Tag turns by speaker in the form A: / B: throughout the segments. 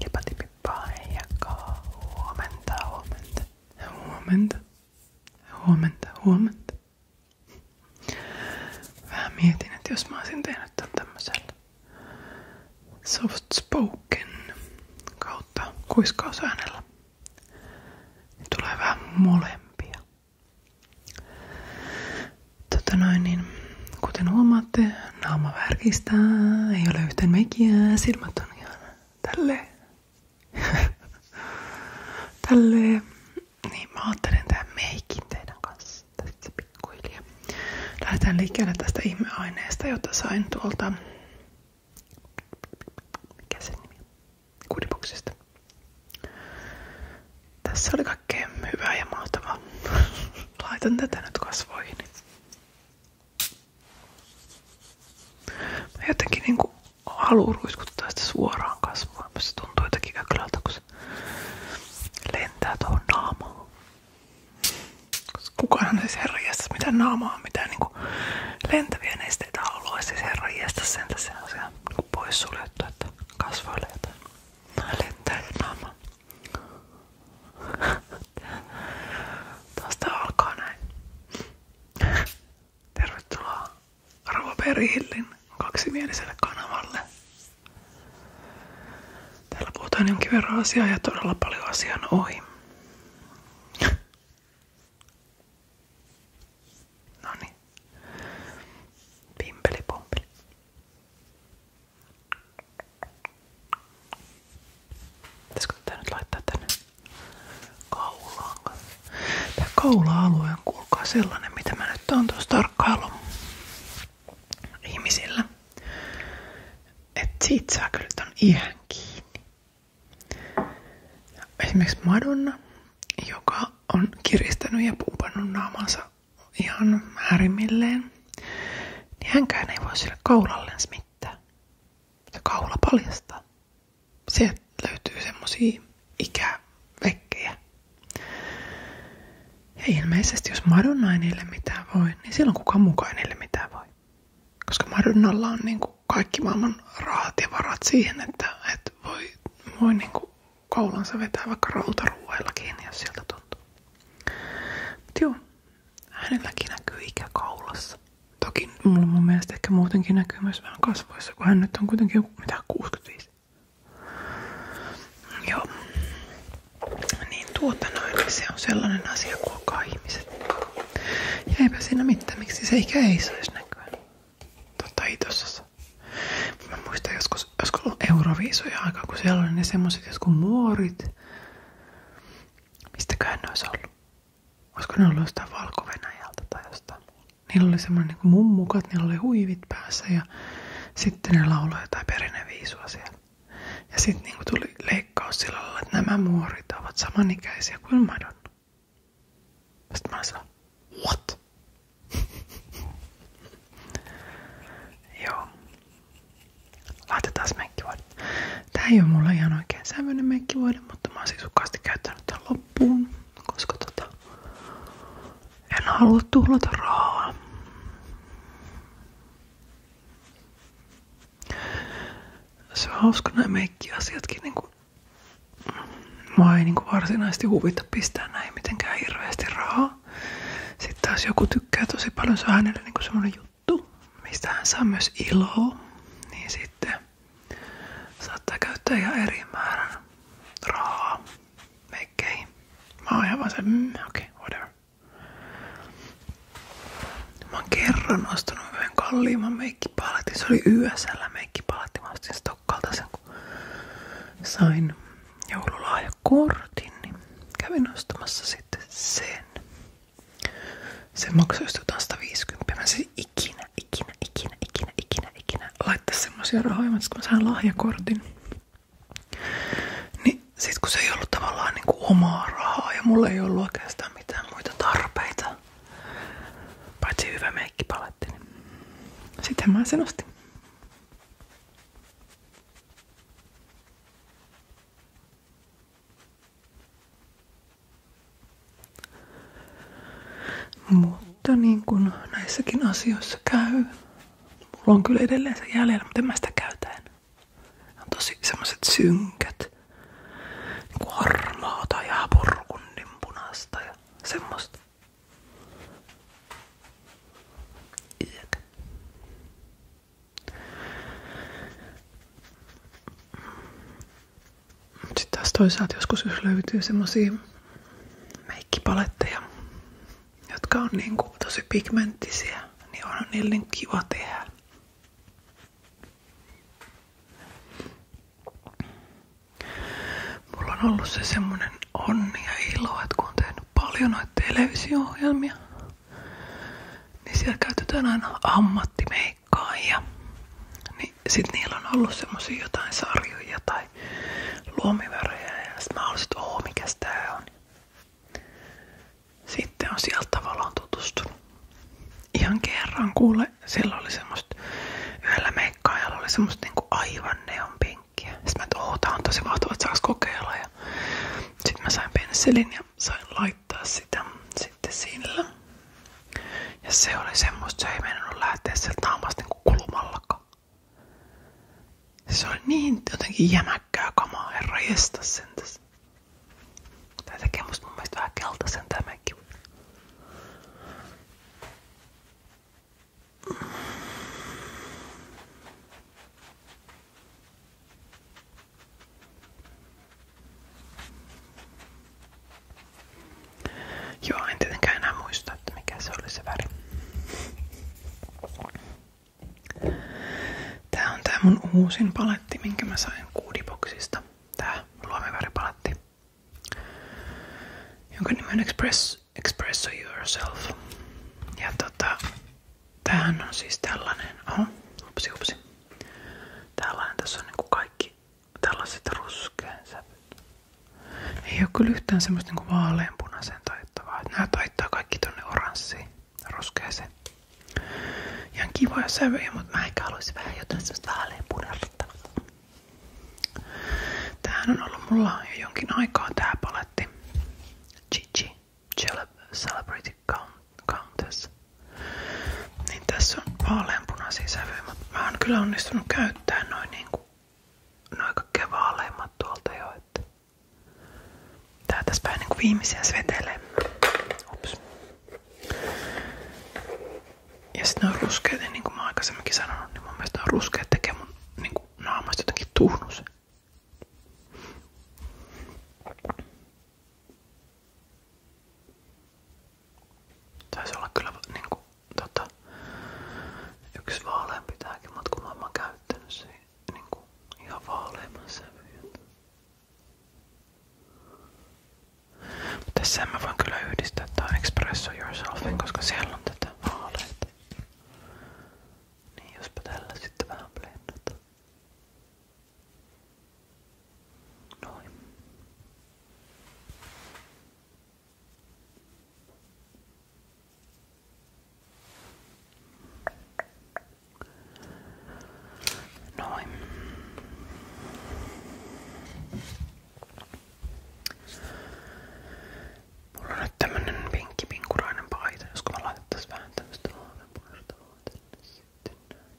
A: Hilpatipippa heijakkaa. Huomenta, huomenta. Huomenta. Huomenta, huomenta. Vähän mietin, että jos mä olisin tehnyt kautta kuiskausäänellä, niin molempia. Tota niin kuten huomaatte, Naama värkistää, ei ole yhtään mekiä, silmät on ihan tälle, tälle Niin mä ajattelen tämän meikin teidän kanssa tässä pikkuhiljaa. Lähdetään liikkeelle tästä ihmeaineesta, jota sain tuolta... Mikä sen nimi? Kudipuksesta. Tässä oli kaikkea hyvää ja mahtavaa. Laitan tätä nyt kasvoihin. Mä jotenkin niinku haluan ruiskuttaa sitä suoraan kasvua, se tuntuu jotenkin ökölältä, kun se lentää tuohon naamaan. kukaan ei siis herra mitään naamaa, mitään niinku lentäviä nesteitä haluaisi siis herra jästä sen tässä asiaa niinku pois suljettu, että kasvoille jotain lentää naamaan. Tuosta alkaa näin. Tervetuloa Arvo Perihillin kaksimieliselle kanavalle. Täällä puhutaan jonkin verran asiaa ja todella paljon asian ohi. Noniin. Pimpeli pompeli. Pitäisikö tää nyt tänne kaulaan? Tää kaula-alue on kuulkaa sellainen, mitä mä nyt oon tuossa tarkkailu ihmisillä. että siitä saa kyllä ton ihan kiinni. Esimerkiksi Madonna, joka on kiristänyt ja pumpannut naamansa ihan äärimmilleen, niin hänkään ei voi sille kaulallensa mitään. Se kaula paljastaa. Sieltä löytyy semmosia ikävekkejä. Ja ilmeisesti jos Madonna ei niille mitään voi, niin silloin kukaan mukaan niille mitään voi. Koska Madonnalla on niin kuin kaikki maailman rahat ja varat siihen, että, että voi, voi niin kuin kaulansa vetää vaikka rautaruuella kiinni, jos sieltä tuntuu. Mut joo, hänelläkin näkyy ikä kaulassa. Toki mulla mun mielestä ehkä muutenkin näkyy myös vähän kasvoissa, kun hän nyt on kuitenkin mitä 65. Joo. Niin tuota noin, niin se on sellainen asia, kuokaa ihmiset. Ja eipä siinä mitään, miksi se ikä ei saisi näkyä. Totta, ei tossa. Mä muistan joskus joskus, joskus ollut euroviisoja aikaa, kun siellä oli ne semmoset jotkut muorit. Mistäköhän ne olisi ollut? Olisiko ne ollut jostain valko tai jostain? Niillä oli semmoinen niin mummukat, niillä oli huivit päässä ja sitten ne lauloi jotain perinneviisua siellä. Ja sitten niin tuli leikkaus sillä lailla, että nämä muorit ovat samanikäisiä kuin Madonna. Sitten mä olin what? Joo. Laitetaan meikkivoide. Tää ei oo mulla ihan oikein sävyinen meikkivoide, mutta mä oon siis sukasti käyttänyt tän loppuun, koska tota, en halua tuhlata rahaa. Se on hauska nämä meikkiasiatkin. Niin Mua ei niin varsinaisesti huvita pistää näin mitenkään hirveästi rahaa. Sitten taas joku tykkää tosi paljon, se on hänelle niinku semmoinen juttu, mistä hän saa myös iloa, niin sitten saattaa käyttää ihan eri määrän rahaa meikkeihin. Mä oon ihan vaan se, mm, okei, okay, whatever. Mä oon kerran ostanut yhden kalliimman meikkipaletin, se oli YSL meikkipaletti, mä ostin Stokkalta sen kun sain joululahjakortin, niin kävin ostamassa sitten sen. Se maksoi jotain 150. Mä siis ikinä, ikinä, ikinä, ikinä, ikinä, ikinä laittaa semmosia rahoja, siis kun mä saan lahjakortin. Niin sit kun se ei ollut tavallaan niin kuin omaa rahaa ja mulla ei ollut oikeastaan mitään muita tarpeita, paitsi hyvä meikkipaletti, niin sitten mä sen ostin. Mutta niin kuin näissäkin asioissa käy, mulla on kyllä edelleen se jäljellä, mutta en mä sitä käytän. On tosi semmoset synkät, niin harmaata ja purkundin punaista ja semmoista. Ök. Sitten toisaalta joskus jos löytyy semmosia meikkipaletteja, jotka on niin kuin tosi pigmenttisiä, niin on niille niin kiva tehdä. Mulla on ollut se semmonen onni ja ilo, että kun on katsonut paljon noita televisio-ohjelmia, niin siellä käytetään aina ja Niin sit niillä on ollut semmosia jotain sarjoja tai luomivärejä ja sit mä olisin, että oo, tää on. Sitten on sieltä tavallaan tutustunut. Ihan kerran kuule, siellä oli semmoista, yhdellä meikkaajalla oli semmoista niinku aivan neonpink vinkkiä. Sitten mä, että oh, on tosi mahtavaa, että saaks kokeilla. Ja sitten mä sain pensselin ja sain laittaa sitä sitten sillä. Ja se oli semmoista, se ei mennyt lähteä sieltä naamasta niinku kulumallakaan. Se oli niin jotenkin jämäkkää kamaa, herra jästä sentäs. Tää tekee musta mun mielestä vähän keltaisen tämäkin. Joo, en tietenkään muista, mikä se oli se väri. Tää on tää mun uusin paletti, minkä mä sain Kuudiboksista. Tää luomiväripaletti, jonka nimi on Express Just express yourself. Ja tota, tämähän on siis tällainen, oho, upsi upsi. Tällainen, tässä on niinku kaikki tällaiset ruskean sävyt. Ei oo kyllä yhtään semmoista niinku vaaleanpunaisen taittavaa. Nää taittaa kaikki tonne oranssiin, ruskeeseen. Ihan kivoja sävyjä, mutta mä ehkä haluaisin vähän jotain semmoista vaaleanpunaista. Tämähän on ollut mulla jo jonkin aikaa tää paletti asti. Gigi, Celebrity Countess. Niin tässä on vaaleanpunaisia sävyjä, mutta mä oon kyllä onnistunut käyttämään noin niinku noin tuolta jo. tää tässä päin niinku viimeisiä svetelee. Ups. Ja sit on ruskeet, niin kuin mä aikaisemminkin sanonut, niin mun mielestä ne on ruskeet tekee mun niin naamasta jotenkin tuhnus. Taisi olla kyllä niinku tota, yksi vaaleampi tääkin, mutta kun mä oon käyttänyt se niinku ihan vaaleamman sävyyn. Tässä mä voin kyllä yhdistää tää Expresso Yourselfin, koska siellä on tätä vaaleita. Niin jospa tällä sitten vähän blendataan. Noin. Noin. Mulla on nyt tämmönen pinkkipinkurainen paita, josko mä laitettaisiin vähän tämmöstä aavepunertavaa tänne sitten näin.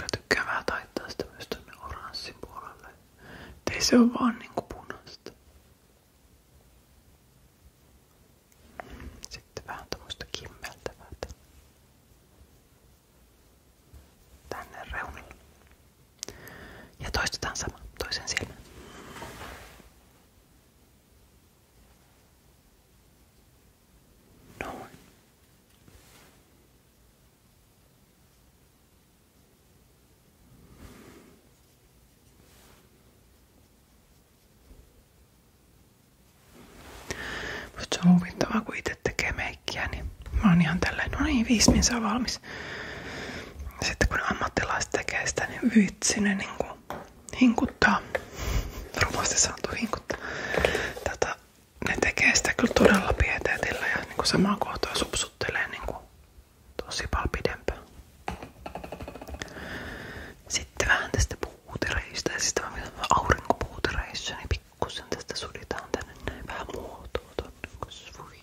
A: Mä tykkään vähän taittaa sitä myös tonne oranssin puolelle. Ei se oo vaan niinku punaista. Sitten vähän tommoista kimmeltävää tänne reunalle. Ja toistetaan sama toisen silmän. Noin. Mutta se on huvittavaa, kun itse tekee meikkiä, niin Mä oon ihan tälleen, no niin, viisi min on valmis. Sitten kun ammattilaiset tekee sitä, niin vitsi ne niin kuin hinkuttaa. Rumasti saatu hinkuttaa. Tätä, ne tekee sitä kyllä todella pieteetillä ja niin kuin samaa kohtaa supsuttelee niin kuin tosi paljon pidempään. Sitten vähän tästä puutereista ja sitten aurinkopuutereista, niin pikkusen tästä suditaan tänne näin vähän muotoa tonne kasvuihin.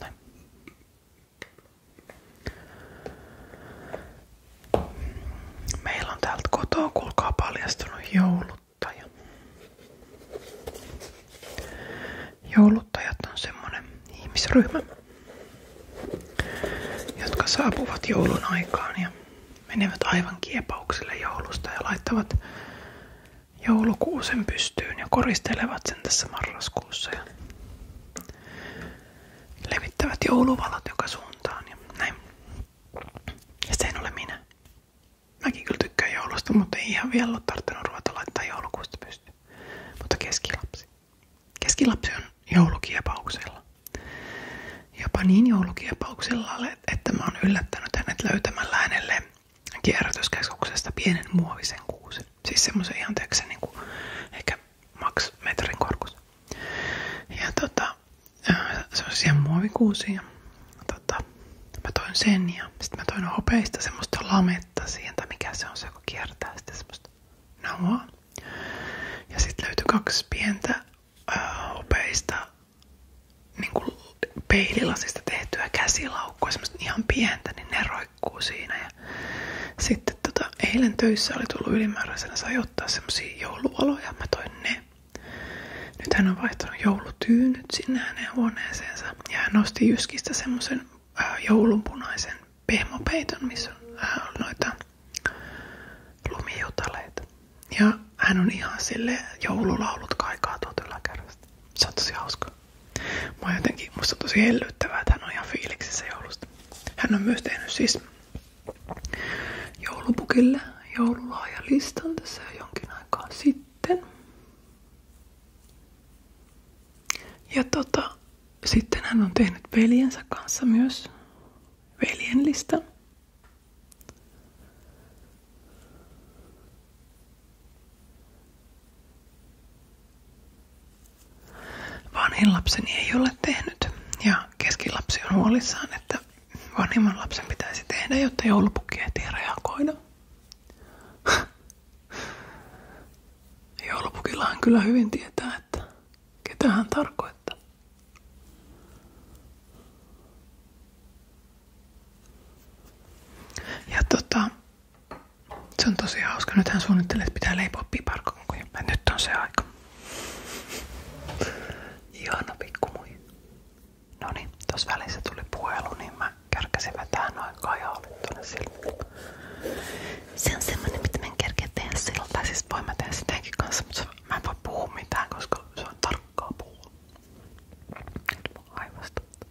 A: Noin. Meillä on täältä kotoa kulkaa paljastunut jouluttaja. Jouluttajat on semmonen ihmisryhmä, jotka saapuvat joulun aikaan ja menevät aivan kiepauksille joulusta ja laittavat joulukuusen pystyyn ja koristelevat sen tässä marraskuussa ja levittävät jouluvalot joka suuntaan ja näin. Ja se en ole minä. Mäkin kyllä tykkään joulusta, mutta ei ihan vielä ole tarttunut ruveta laittaa joulukuusta pystyyn. Mutta keskilapsi. Keskilapsi on joulukiepauksella. Jopa niin joulukiepauksella, että mä oon yllättänyt hänet löytämällä hänelle kierrätyskeskuksesta pienen muovisen kuusen. Siis semmoisen ihan teksä, niin ehkä maks metrin korkuisen. Ja tota, äh, semmoisia muovikuusia. Tota, mä toin sen ja sitten mä toin hopeista semmoista lametta siihen, tai mikä se on se, joka kiertää sitten semmoista nauhaa. Ja sitten löytyi kaksi pientä öö, hopeista niin kuin peililasista tehtyä käsilaukkua, semmoista ihan pientä, niin ne roikkuu siinä. Ja sitten tota, eilen töissä oli tullut ylimääräisenä, sai ottaa semmosia jouluvaloja, mä toin ne. Nyt hän on vaihtanut joulutyynyt sinne hänen huoneeseensa ja hän nosti Jyskistä semmoisen äh, joulunpunaisen pehmopeiton, missä on äh, noita lumijutaleita. Ja hän on ihan sille joululaulut kaikaa tuolta yläkärjestä. Se on tosi hauska. Mä oon jotenkin, musta tosi hellyttävää, että hän on ihan fiiliksissä joulusta. Hän on myös tehnyt siis joulupukille joululaajalistan tässä jonkin aikaa sitten. Ja tota, sitten hän on tehnyt veljensä kanssa myös veljenlistan. Vanhin lapseni ei ole tehnyt ja keskilapsi on huolissaan, että vanhimman lapsen pitäisi tehdä, jotta joulupukki ehtii reagoida. Joulupukillahan kyllä hyvin tietää, että ketä hän tarkoittaa. Ja tota, se on tosi hauska. nyt hän suunnittelee, että pitää leipoa piparkonkuja. Nyt on se aika. Ihana pikkumui. No niin, tuossa välissä tuli puhelu, niin mä kärkäsin vetää noin kajaalle tuonne silmille. Se on semmonen, mitä mä en kerkeä tehdä silloin. Tai siis voin mä tehdä sitäkin kanssa, mutta mä en voi puhua mitään, koska se on tarkkaa puhua. Nyt mun aivastuttaa.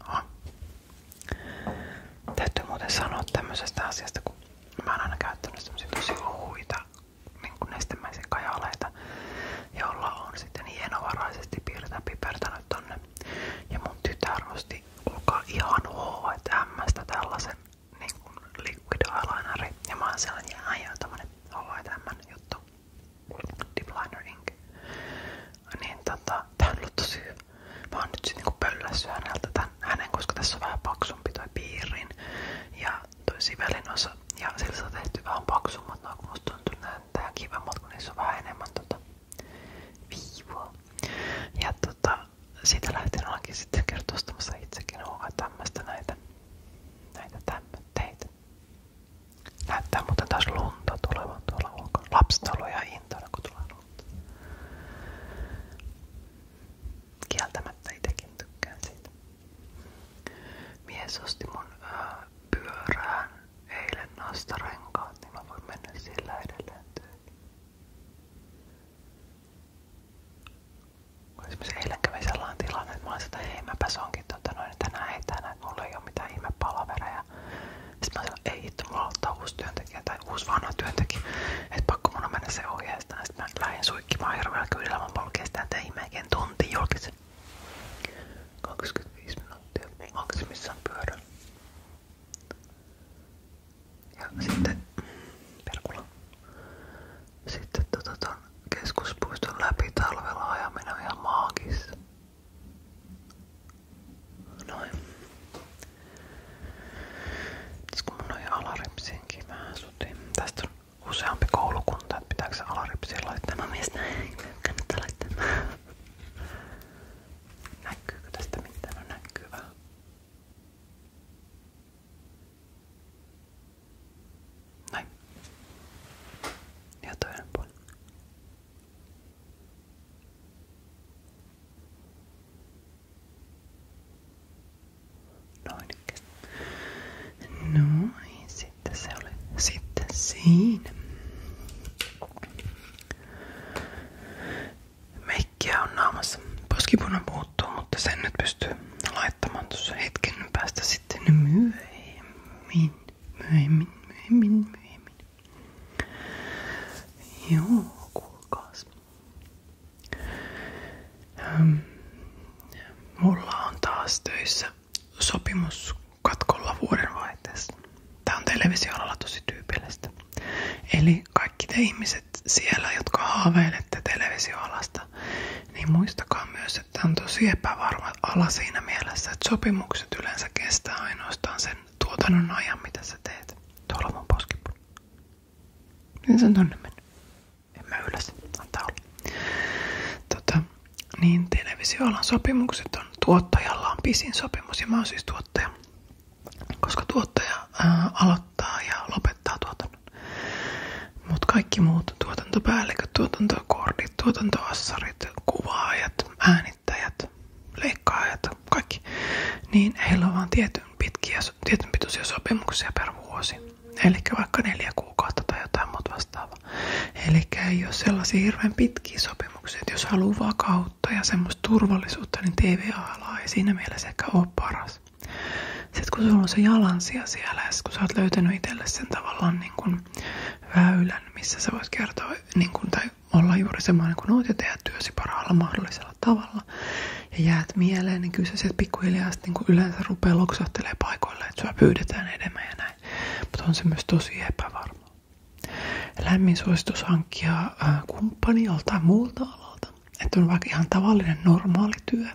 A: Ah. Täytyy muuten sanoa tämmöisestä asiasta, kun mä oon aina käyttänyt semmosia tosi ohuita niin nestemäisiä kajaleita, jolla on sitten hienovaraisesti piirtä pipertänyt tonne. Ja mun tytär osti ulkoa ihan H&Mstä tällaisen niin kuin liquid eyelineri. Ja mä oon sellainen niin jääjä tämmönen H&M juttu. Deep Liner Niin tota, tää on Mä oon nyt sit niinku pöllässyt häneltä tämän, hänen, koska tässä on vähän paksumpi toi piirin ja toi sivelin osa. Ja sillä on tehty vähän paksummat, no kun musta tuntuu näyttää kivemmat, kun niissä on vähän enemmän tota viivua. Ja tota, siitä lähtien olenkin sitten kertostamassa itsekin onkaan tämmöstä näitä, näitä tämmöteitä. Näyttää muuten taas lunta tulevan tuolla ulkona. Lapset on ollut ihan into tarkoitulla ollut. Kieltämättä itsekin tykkään siitä. Mies äh, pyörään eilen noista renkaat, niin mä voin mennä sillä edelleen töihin. Esimerkiksi eilen kävi sellainen tilanne, että mä olin sitä, että hei tota, noin, tänään ei tänään, että mulla ei ole mitään ihme ja sitten mä sanoin, ei hitto, mulla aloittaa uusi työntekijä tai uusi vanha työntekijä. et pakko mun on mennä se ohjeestaan. Sitten mä lähdin suikkimaan hirveällä kyydillä. Mä polkein sitä tein melkein tunti julkisen. 25 minuuttia maksimissaan pyörä. Ja sitten mm, perkula. Sitten tota, ton keskuspuiston läpi talvella ajaminen on ihan Noin. Pitäisikö mun noin alaripsiinkin vähän sutiin? Tästä on useampi koulukunta, että pitääkö se alaripsiin laittaa? Mä mietin, ei kannattaa laittaa. Näkyykö tästä mitään? No näkyy vähän. Näin. Ja toinen puoli. Noin. Noin, sitten se oli. Sitten siinä. Meikkiä on naamassa. Poskipuna puuttuu, mutta sen nyt pystyy laittamaan tuossa hetken päästä sitten myöhemmin. Myöhemmin, myöhemmin, myöhemmin. Joo, mulla on taas töissä sopimus katkolla vuodenvaihteessa. Tää on televisioalalla tosi Eli kaikki te siellä, jotka haaveilette televisioalasta, niin muistakaa myös, että on tosi epävarma ala siinä mielessä, että sopimukset yleensä kestää ainoastaan sen tuotannon ajan, mitä sä teet. Tuolla on mun poskipuna. Niin se on tonne mennyt. En mä ylläs, antaa olla. Tota, niin televisioalan sopimukset on, tuottajalla on pisin sopimus ja mä oon siis tuottaja. Koska tuottaja ää, äh, aloittaa ja lopettaa tuotannon. Mutta kaikki muut tuotantopäälliköt, tuotantokoordit, tuotantoassarit, kuvaajat, äänittäjät, leikkaajat, kaikki, niin heillä on vaan tietyn, pitkiä, tietyn pituisia sopimuksia per vuosi. Eli vaikka neljä kuukautta tai jotain muuta vastaavaa. Eli ei ole sellaisia hirveän pitkiä sopimuksia, että jos haluaa vakautta ja semmoista turvallisuutta, niin TV-ala ei siinä mielessä ehkä ole paras. Sitten kun sulla on se jalansija siellä ja kun sä oot löytänyt itselle sen tavallaan niin kuin väylän, missä sä voit kertoa niin kuin, tai olla juuri semmoinen kuin oot ja tehdä työsi parhaalla mahdollisella tavalla ja jäät mieleen, niin kyllä se sieltä pikkuhiljaa sitten niin yleensä rupeaa loksahtelee paikoille, että sua pyydetään enemmän ja näin. Mutta on se myös tosi epävarma. Lämmin suositus hankkia äh, kumppani joltain muulta alalta. Että on vaikka ihan tavallinen normaali työ,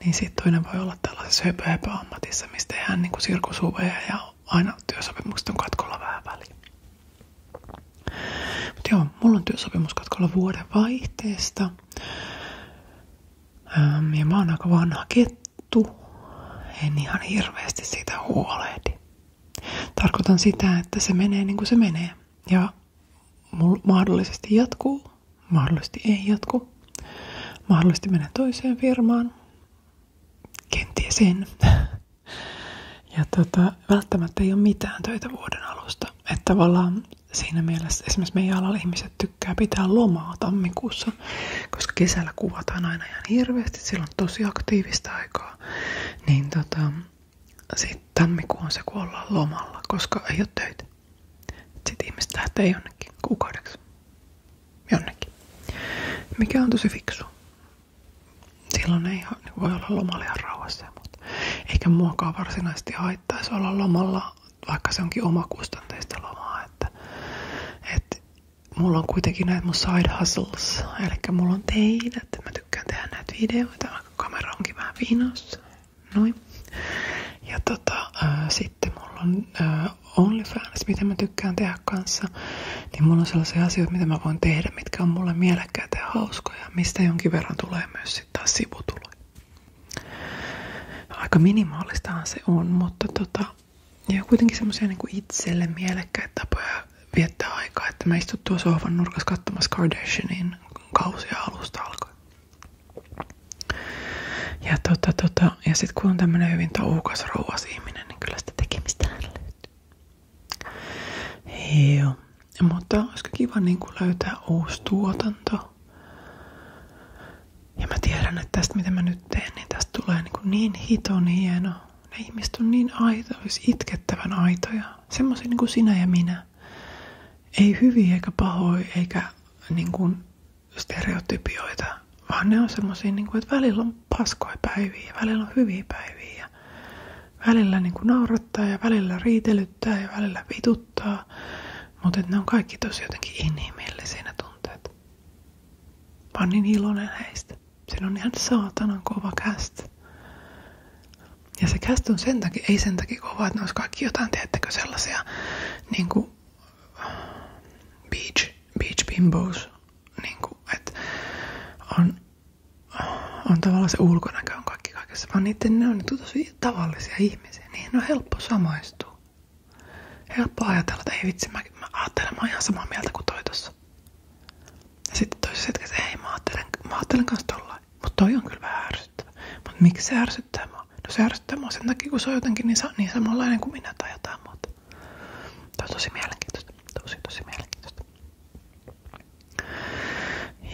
A: niin sitten toinen voi olla tällaisessa höpö ammatissa, mistä tehdään niin sirkusuveja ja aina työsopimukset on katkolla vähän väliin. Mutta joo, mulla on työsopimus katkolla vuoden vaihteesta. Ähm, ja mä oon aika vanha kettu. En ihan hirveästi siitä huolehdi. Tarkoitan sitä, että se menee niin kuin se menee. Ja mahdollisesti jatkuu, mahdollisesti ei jatku. Mahdollisesti menee toiseen firmaan, kenties en. Ja tota, välttämättä ei ole mitään töitä vuoden alusta. Että tavallaan siinä mielessä esimerkiksi meidän alalla ihmiset tykkää pitää lomaa tammikuussa, koska kesällä kuvataan aina ihan hirveästi, silloin on tosi aktiivista aikaa. Niin tota, sitten tammikuu on se, kun lomalla, koska ei ole töitä. Sitten ihmiset lähtee jonnekin kuukaudeksi jonnekin. Mikä on tosi fiksu. Silloin ei voi olla lomalla ihan rauhassa mutta Eikä muokaa varsinaisesti haittaisi olla lomalla, vaikka se onkin omakustanteista lomaa. Että, et, mulla on kuitenkin näitä mun side hustles, eli mulla on teitä, että mä tykkään tehdä näitä videoita, vaikka kamera onkin vähän viinossa. Noin. Ja tota, ää, sitten mulla on ää, OnlyFans, mitä mä tykkään tehdä kanssa, niin mulla on sellaisia asioita, mitä mä voin tehdä, mitkä on mulle mielekkäitä ja hauskoja, mistä jonkin verran tulee myös sitten taas sivutuloja. Aika minimaalistahan se on, mutta tota, ja kuitenkin semmoisia niin itselle mielekkäitä tapoja viettää aikaa, että mä istun tuossa sohvan nurkassa katsomassa Kardashianin kausia alusta alkoi. Ja, tota, tota, ja sitten kun on tämmöinen hyvin touhukas rouvas ihminen, ihminen, niin kyllä sitä tekemistä löytyy. Joo. Mutta olisiko kiva niin kuin löytää uusi tuotanto. Ja mä tiedän, että tästä mitä mä nyt teen, niin tästä tulee niin, kuin niin hiton hieno. Ne ihmiset on niin aito, olisi siis itkettävän aitoja. Semmoisia niin kuin sinä ja minä. Ei hyviä eikä pahoja, eikä niin kuin stereotypioita, vaan ne on semmoisia, niin kuin, että välillä on paskoja päiviä, välillä on hyviä päiviä. Ja välillä niin kuin naurattaa ja välillä riitelyttää ja välillä vituttaa. Mutta ne on kaikki tosi jotenkin inhimillisiä ne tunteet. Mä niin iloinen heistä. Siinä on ihan saatanan kova kästä. Ja se käst on sen takia, ei sen takia kova, että ne olisi kaikki jotain, teettekö sellaisia niin kuin beach, beach bimbos niin kuin, että on, on tavallaan se ulkonäkö on kaikki kaikessa, vaan niiden ne on tosi tavallisia ihmisiä. Niihin on no, helppo samaistua. Helppo ajatella, että ei vitsi, mä, mä ajattelen, mä oon ihan samaa mieltä kuin toi tossa. Ja sitten toisessa hetkessä, ei mä ajattelen, mä ajattelen kans tollain. Mut toi on kyllä vähän ärsyttävä. Mut miksi se ärsyttää mua? No se ärsyttää mua sen takia, kun se on jotenkin niin, niin samanlainen kuin minä tai jotain muuta. Tämä on tosi mielenkiintoista. Tosi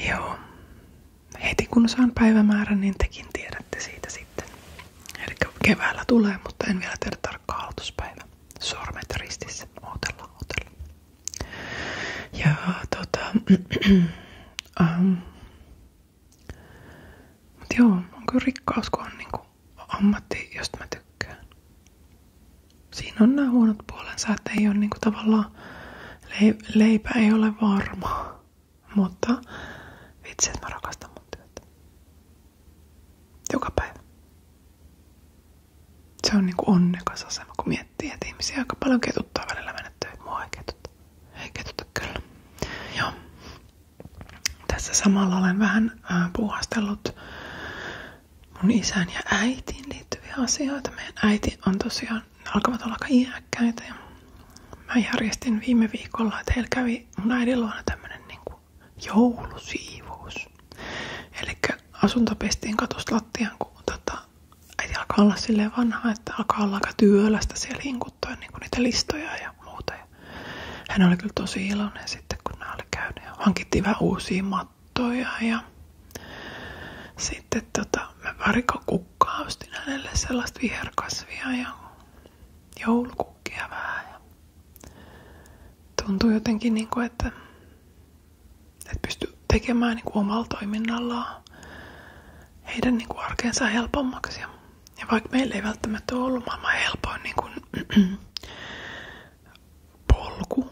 A: Joo. Heti kun saan päivämäärän, niin tekin tiedätte siitä sitten. Eli keväällä tulee, mutta en vielä tiedä tarkkaa aloituspäivää. Sormet ristissä. Ootella, ootella. Ja tota... Ähm. mutta joo, on kyllä rikkaus, kun on niinku ammatti, josta mä tykkään. Siinä on nämä huonot puolensa, että ei ole niinku tavallaan leipä ei ole varma. Mutta vitsi, että mä rakastan mun työtä. Joka päivä. Se on niinku onnekas asema, kun miettii, että ihmisiä aika paljon ketuttaa välillä mennä töihin. Mua ei ketutta. Ei ketuta kyllä. Joo. Tässä samalla olen vähän äh, puuhastellut mun isän ja äitiin liittyviä asioita. Meidän äiti on tosiaan, alkavat olla aika iäkkäitä ja mä järjestin viime viikolla, että heillä kävi mun äidin luona tämmönen niinku joulusiivous. Eli asunto pestiin katosta lattiaan, kun tota, äiti alkaa olla silleen vanha, että alkaa olla aika työlästä siellä hinkuttaa niin niitä listoja ja ja muuta. Ja hän oli kyllä tosi iloinen sitten, kun nämä oli käynyt. Ja hankittiin vähän uusia mattoja ja sitten tota, mä varikokukkaa ostin hänelle sellaista viherkasvia ja joulukukkia vähän. Ja tuntui jotenkin, niin kuin, että, että pystyy tekemään niin kuin omalla toiminnallaan heidän niin kuin arkeensa helpommaksi. Ja ja vaikka meillä ei välttämättä ole ollut maailman helpoin niin kuin, polku,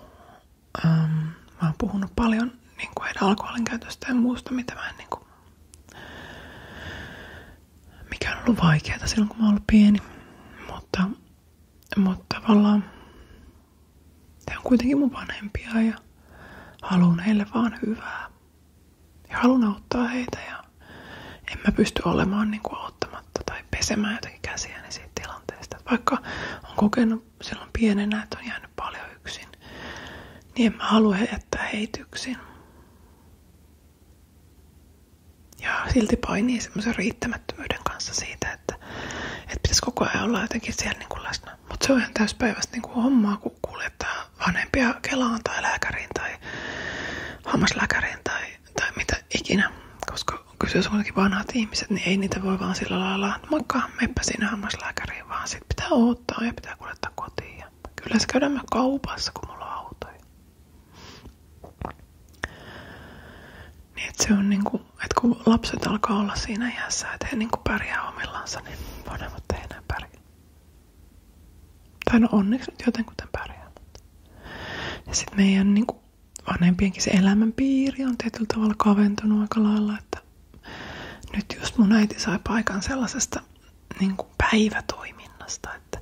A: ähm, mä oon puhunut paljon niin kuin heidän alkoholin käytöstä ja muusta, mitä mä en niin kuin, mikä on ollut vaikeaa silloin kun mä oon ollut pieni. Mutta, mutta tavallaan te on kuitenkin mun vanhempia ja haluan heille vaan hyvää ja haluan auttaa heitä ja en mä pysty olemaan niin kuin auttamatta tai pesemään jotenkin käsiäni siitä tilanteesta. vaikka on kokenut silloin pienenä, että on jäänyt paljon yksin, niin en mä halua jättää heitä yksin. Ja silti painii semmoisen riittämättömyyden kanssa siitä, että, että pitäisi koko ajan olla jotenkin siellä niin kuin läsnä. Mutta se on ihan täyspäiväistä niin kuin hommaa, kun kuljettaa vanhempia Kelaan tai lääkäriin tai hammaslääkäriin tai tai, tai mitä ikinä, koska kyseessä kuitenkin vanhat ihmiset, niin ei niitä voi vaan sillä lailla, että moikka, meppä sinne hammaslääkäriin, vaan sit pitää odottaa ja pitää kuljettaa kotiin. Ja kyllä se käydään myös kaupassa, kun mulla on autoja. Niin et se on niinku, että kun lapset alkaa olla siinä iässä, että he niinku pärjää omillansa, niin vanhemmat ei enää pärjää. Tai no onneksi nyt jotenkuten pärjää. Ja sitten meidän niin kuin vanhempienkin se elämänpiiri on tietyllä tavalla kaventunut aika lailla, että nyt just mun äiti sai paikan sellaisesta niin kuin päivätoiminnasta, että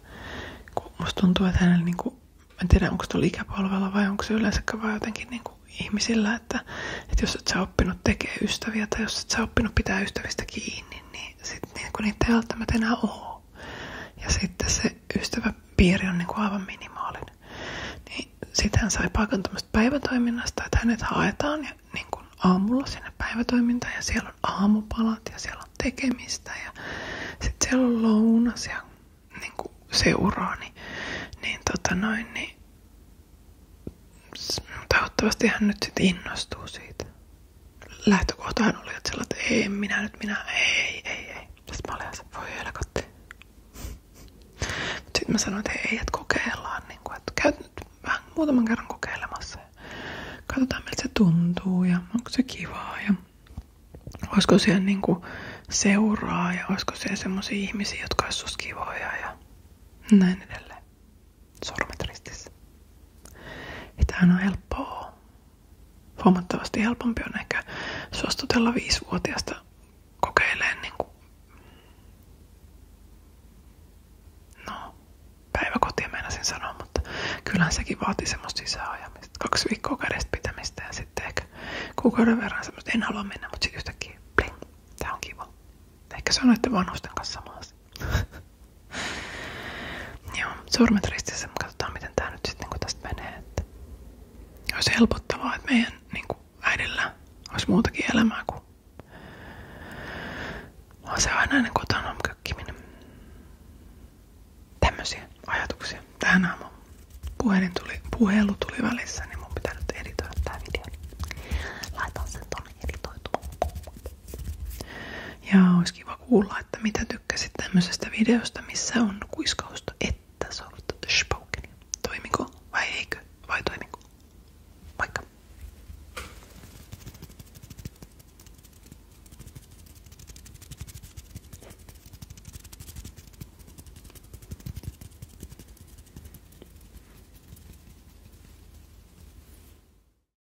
A: kun musta tuntuu, että hänellä niin kuin, en tiedä onko tuolla ikäpolvella vai onko se yleensäkään vaan jotenkin niin kuin ihmisillä, että, että jos et sä oppinut tekemään ystäviä tai jos et sä oppinut pitää ystävistä kiinni, niin sitten niin niitä ei välttämättä enää ole. Ja sitten se ystäväpiiri on niinku aivan minimaalinen. Niin sitten hän sai paikan päivätoiminnasta, että hänet haetaan ja niin kuin aamulla sinne päivätoimintaan ja siellä on aamupalat ja siellä on tekemistä ja sitten siellä on lounas ja niin kuin seuraa. Niin, niin, tota noin, niin toivottavasti hän nyt sitten innostuu siitä lähtökohtahan oli, että, sillä, että ei minä nyt, minä, ei, ei, ei. Sitten mä olin se, voi helkotti. Sitten mä sanoin, että ei, että kokeillaan, niin kuin, että käyt nyt vähän muutaman kerran kokeilemassa. Ja katsotaan, miltä se tuntuu ja onko se kivaa ja olisiko siellä niin kuin seuraa ja olisiko siellä semmoisia ihmisiä, jotka olisi kivoja ja näin edelleen sormet ristissä. Ei tämähän on helppoa. Huomattavasti helpompi on ehkä suostutella viisivuotiaasta kokeilemaan niin kuin no, päiväkotia meinasin sanoa, mutta kyllähän sekin vaatii semmoista sisäänajamista. Kaksi viikkoa kädestä pitämistä ja sitten ehkä kuukauden verran semmoista, en halua mennä, mutta sitten yhtäkkiä, bling, tää on kiva. Ehkä se on vanhusten kanssa sama Joo, sormet ristissä, katsotaan miten tää nyt sitten kun tästä menee. Että olisi helpottavaa, että meidän niin kuin äidillä olisi muutakin elämää kuin on se aina kotona kökkiminen. Tämmöisiä ajatuksia. Tähän aamuun puhelin tuli, puhelu tuli välissä, niin mun pitää nyt editoida tää video. Laitan sen tonne editoitu. Ja olisi kiva kuulla, että mitä tykkäsit tämmöisestä videosta, missä on kuiskausta, että soft spoken. Toimiko vai eikö? Vai toimiko? Moikka!